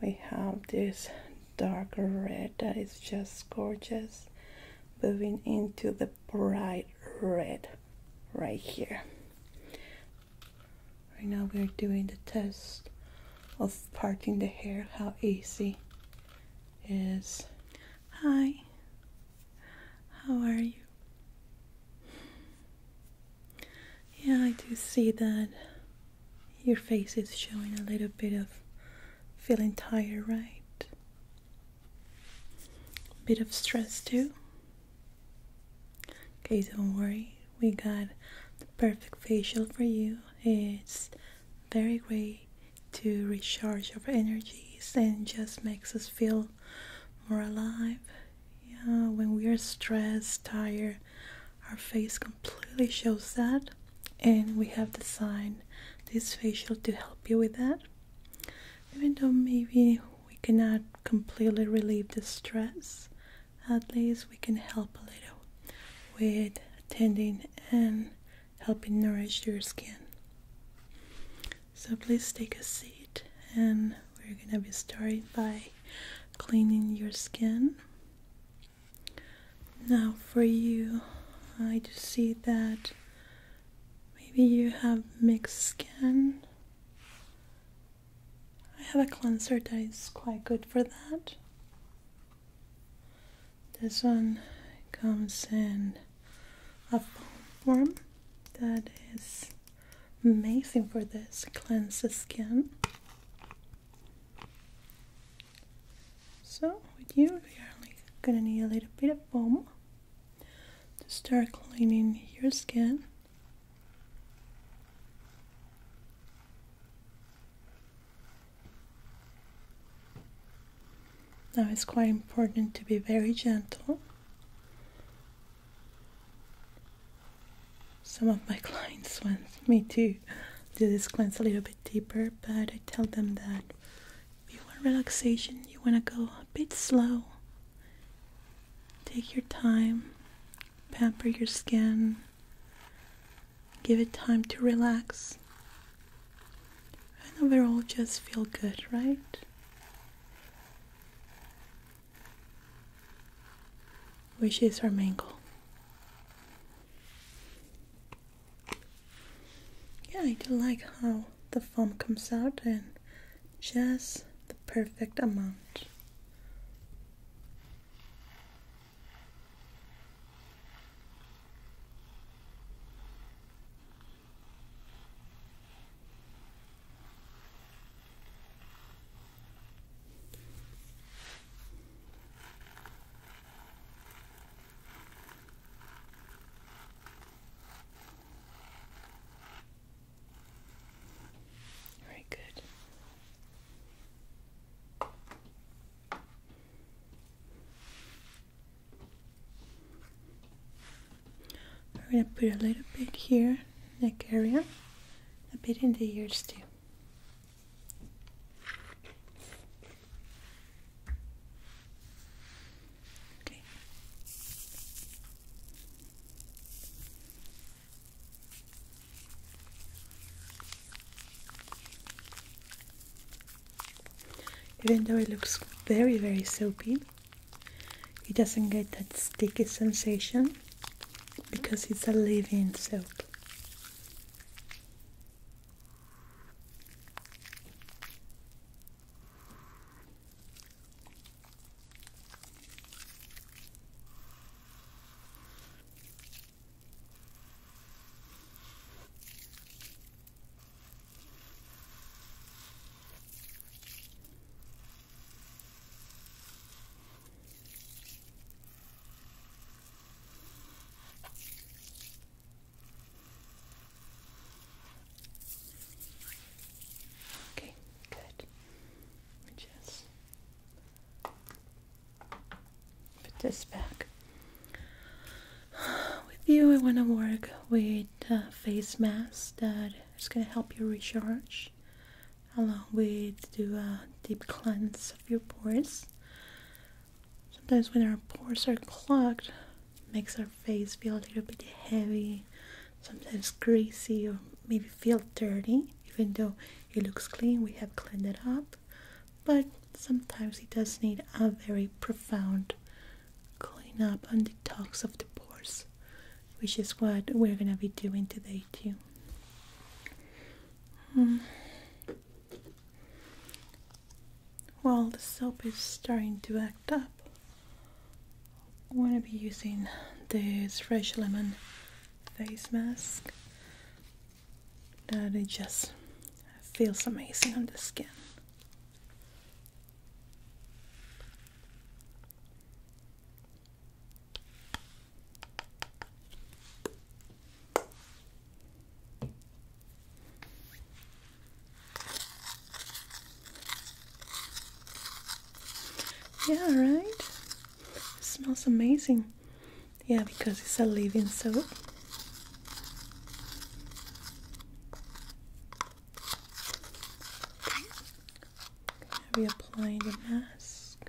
We have this dark red that is just gorgeous, moving into the bright red right here. Right now we're doing the test of parting the hair, how easy is. Hi, how are you? Yeah, I do see that your face is showing a little bit of feeling tired, right? Bit of stress too. Okay, don't worry. We got the perfect facial for you. It's very great to recharge our energies and just makes us feel more alive. Yeah, when we are stressed, tired, our face completely shows that, and we have designed this facial to help you with that. Even though maybe we cannot completely relieve the stress, at least we can help a little with tending and helping nourish your skin. So please take a seat and we're gonna be starting by cleaning your skin. Now, for you, I just see that maybe you have mixed skin. I have a cleanser that is quite good for that. This one comes in a form that is amazing for this cleanses skin so with you, we are gonna need a little bit of foam to start cleaning your skin. Now it's quite important to be very gentle some of my clients want me to do this cleanse a little bit deeper, but I tell them that if you want relaxation, you want to go a bit slow. Take your time, pamper your skin, give it time to relax, and overall just feel good, right? which is our main Yeah, I do like how the foam comes out in just the perfect amount. All right, good. We're going to put a little bit here, neck area, a bit in the ears too. Even though it looks very, very soapy, it doesn't get that sticky sensation because it's a living silk. Okay, good. We just put this back. With you, I want to work with a uh, face mask that is going to help you recharge along with do a deep cleanse of your pores. Sometimes when our pores are clogged, makes our face feel a little bit heavy, sometimes greasy or maybe feel dirty. Even though it looks clean, we have cleaned it up, but sometimes it does need a very profound clean cleanup and detox of the pores, which is what we're gonna be doing today motivate hmm. Well, the soap is starting to act up. I'm going to be using this fresh lemon face mask that it just feels amazing on the skin. Yeah, right? smells amazing. Yeah, because it's a living soap. Okay, reapply the mask.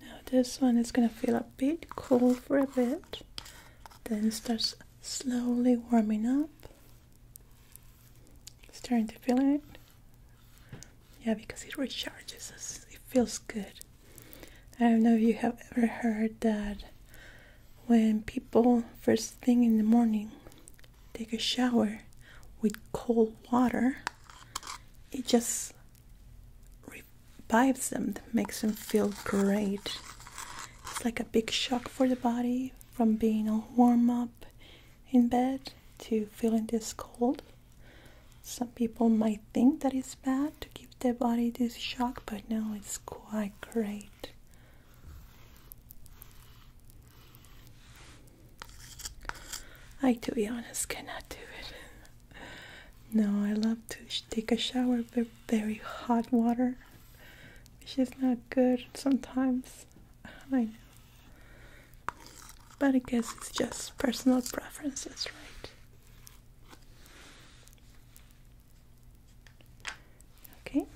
Now this one is going to feel a bit cool for a bit, then starts slowly warming up. starting to feel it. Yeah, because it recharges us. It feels good. I don't know if you have ever heard that when people first thing in the morning take a shower with cold water, it just revives them, makes them feel great. It's like a big shock for the body from being all warm up in bed to feeling this cold. Some people might think that it's bad to give their body this shock, but no, it's quite great. I, to be honest, cannot do it. no, I love to take a shower with very hot water, which is not good sometimes. I know. But I guess it's just personal preferences, right? Okay,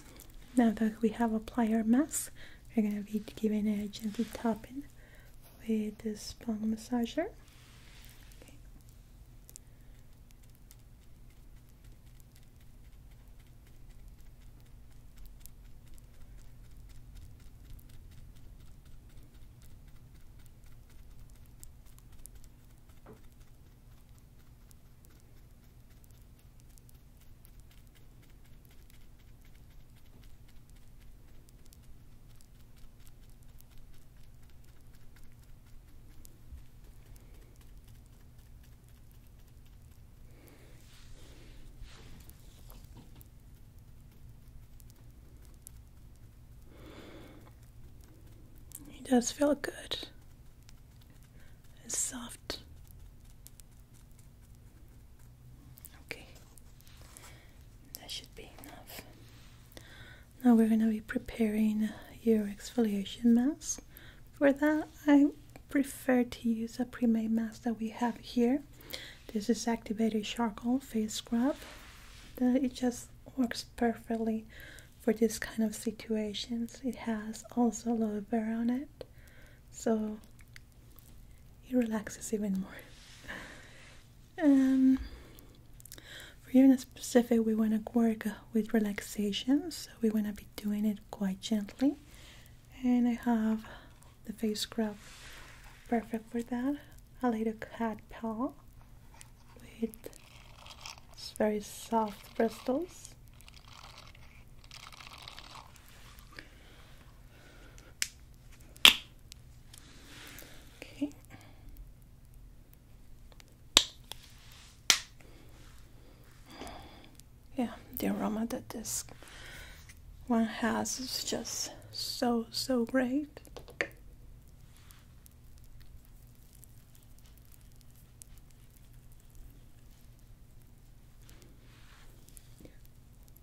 now that we have applied our mask, we're gonna be giving a gentle tapping with this spong massager. It does feel good. It's soft. Okay, that should be enough. Now we're going to be preparing your exfoliation mask. For that, I prefer to use a pre-made mask that we have here. This is activated charcoal face scrub. It just works perfectly for this kind of situations. It has also aloe vera on it. So he relaxes even more. Um, for you in specific, we want to work with relaxation, so we want to be doing it quite gently. And I have the face scrub perfect for that. A little cat paw with very soft bristles. Okay. Yeah, the aroma that this one has is just so, so great.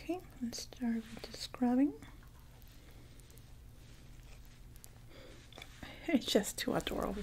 Okay, let's start with the scrubbing. It's just too adorable.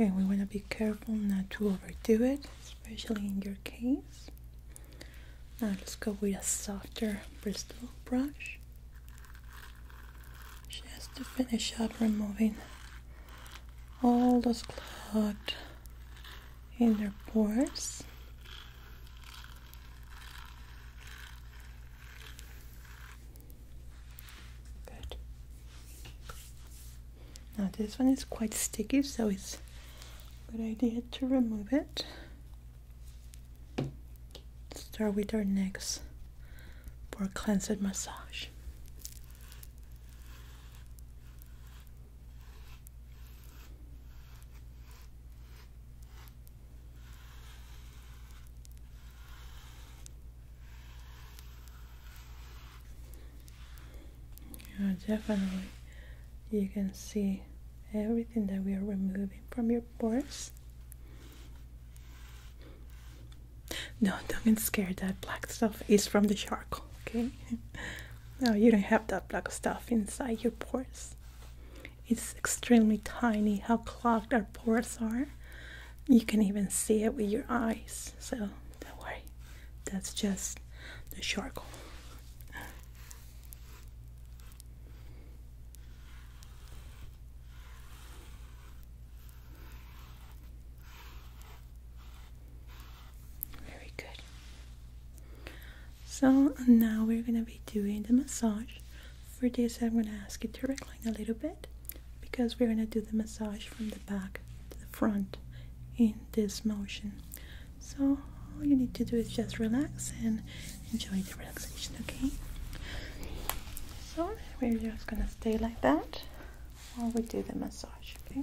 Okay, we want to be careful not to overdo it, especially in your case. Now let's go with a softer bristle brush just to finish up removing all those clogged in their pores. Good. Now this one is quite sticky, so it's a good idea to remove it. Start with our necks for a cleansed massage definitely. You can see everything that we are removing from your pores. No, don't get scared. That black stuff is from the charcoal, okay? No, you don't have that black stuff inside your pores. It's extremely tiny how clogged our pores are. You can even see it with your eyes, so don't worry. That's just the charcoal. Very good. So now we're gonna be doing the massage. For this, I'm gonna ask you to recline a little bit because we're gonna do the massage from the back to the front in this motion. So all you need to do is just relax and enjoy the relaxation, okay? So we're just gonna stay like that while we do the massage, okay?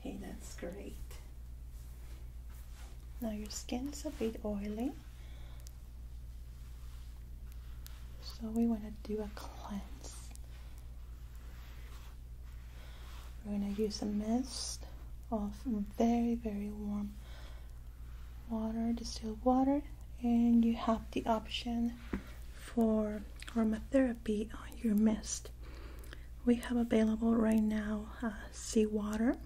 Okay, that's great. Now your skin's a bit oily, so we want to do a cleanse. We're going to use a mist of very, very warm water, distilled water, and you have the option for aromatherapy on your mist. We have available right now uh, seawater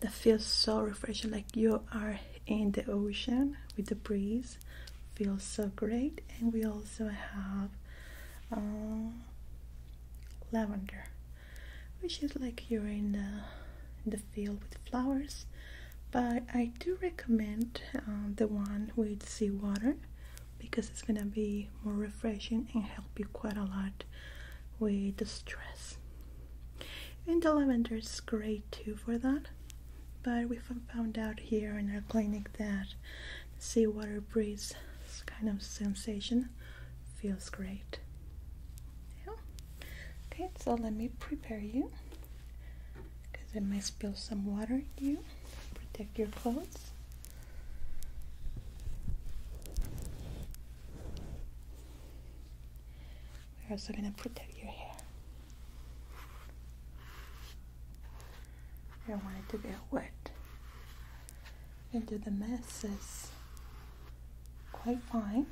that feels so refreshing, like you are in the ocean with the breeze feels so great and we also have um, lavender which is like you're in the, the field with flowers but I do recommend um, the one with sea water because it's gonna be more refreshing and help you quite a lot with the stress and the lavender is great too for that. But we found out here in our clinic that the seawater breeze kind of sensation feels great. Yeah. Okay, so let me prepare you because I might spill some water on you. Protect your clothes. We're also going to protect your hair. I don't want it to get wet. Into the mess is quite fine.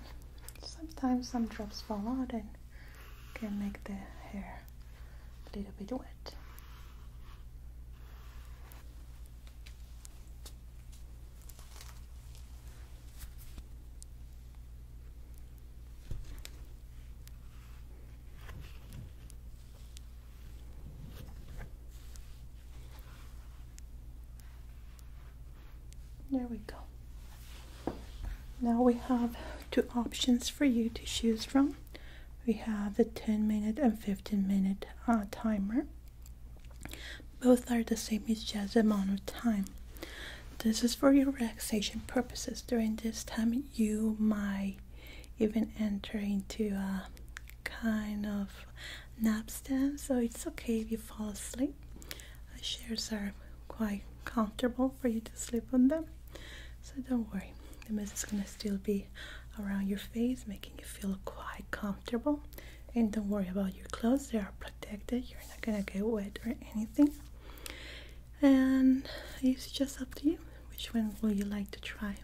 Sometimes some drops fall out and can make the hair a little bit wet. There we go. Now we have two options for you to choose from. We have the 10 minute and 15 minute uh, timer. Both are the same, it's just amount of time. This is for your relaxation purposes. During this time, you might even enter into a kind of napstand, so it's okay if you fall asleep. The chairs are quite comfortable for you to sleep on them, so don't worry. The mist is gonna still be around your face, making you feel quite comfortable. And don't worry about your clothes, they are protected you're not gonna get wet or anything and it's just up to you which one would you like to try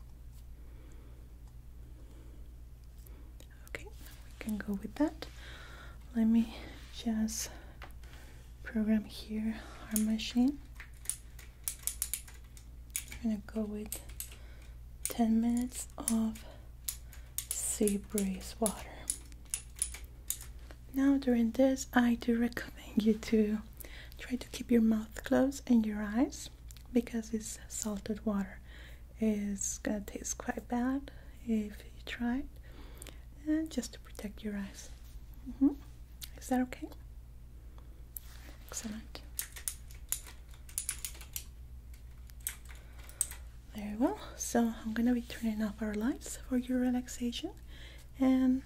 okay we can go with that let me just program here our machine i'm gonna go with 10 minutes of sea breeze water. Now during this, I do recommend you to try to keep your mouth closed and your eyes because it's salted water. It's gonna taste quite bad if you try it, and just to protect your eyes. Mm-hmm. Is that okay? Excellent. Very well, so I'm gonna be turning off our lights for your relaxation and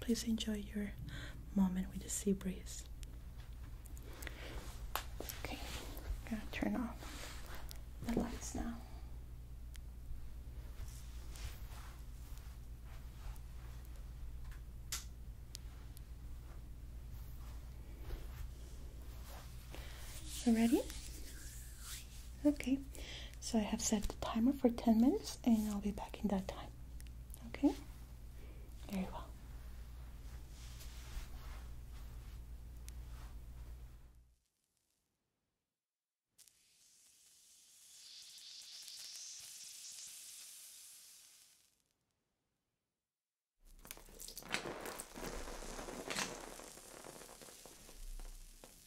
please enjoy your moment with the sea breeze. Okay, I'm gonna turn off the lights now. Ready? Okay, so I have set the timer for 10 minutes and I'll be back in that time. Okay? Very well.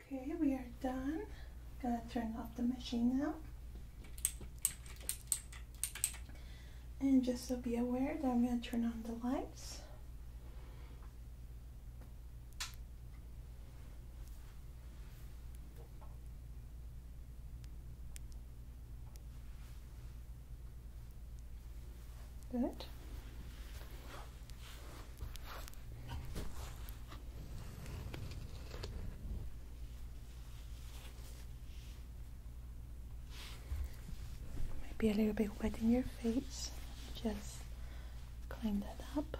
Okay, we are done. I'm gonna turn off the machine now. And just so be aware that I'm gonna turn on the lights. Good. Maybe a little bit wet in your face. Just clean that up.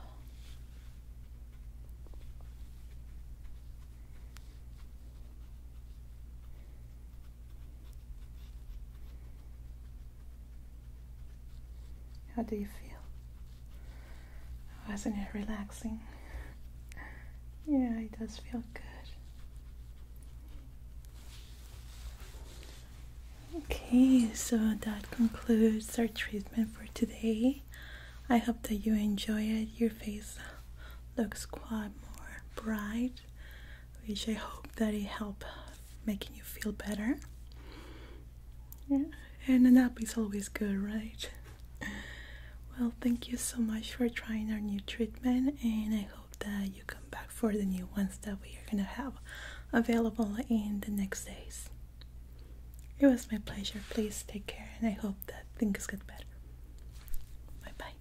How do you feel? Wasn't it relaxing? Yeah, it does feel good. Okay, so that concludes our treatment for today. I hope that you enjoy it. Your face looks quite more bright it which I hope that it help making you feel better yeah and a nap is always good right well thank you so much for trying our new treatment and I hope that you come back for the new ones that we are gonna have available in the next days it was my pleasure please take care and I hope that things get better bye bye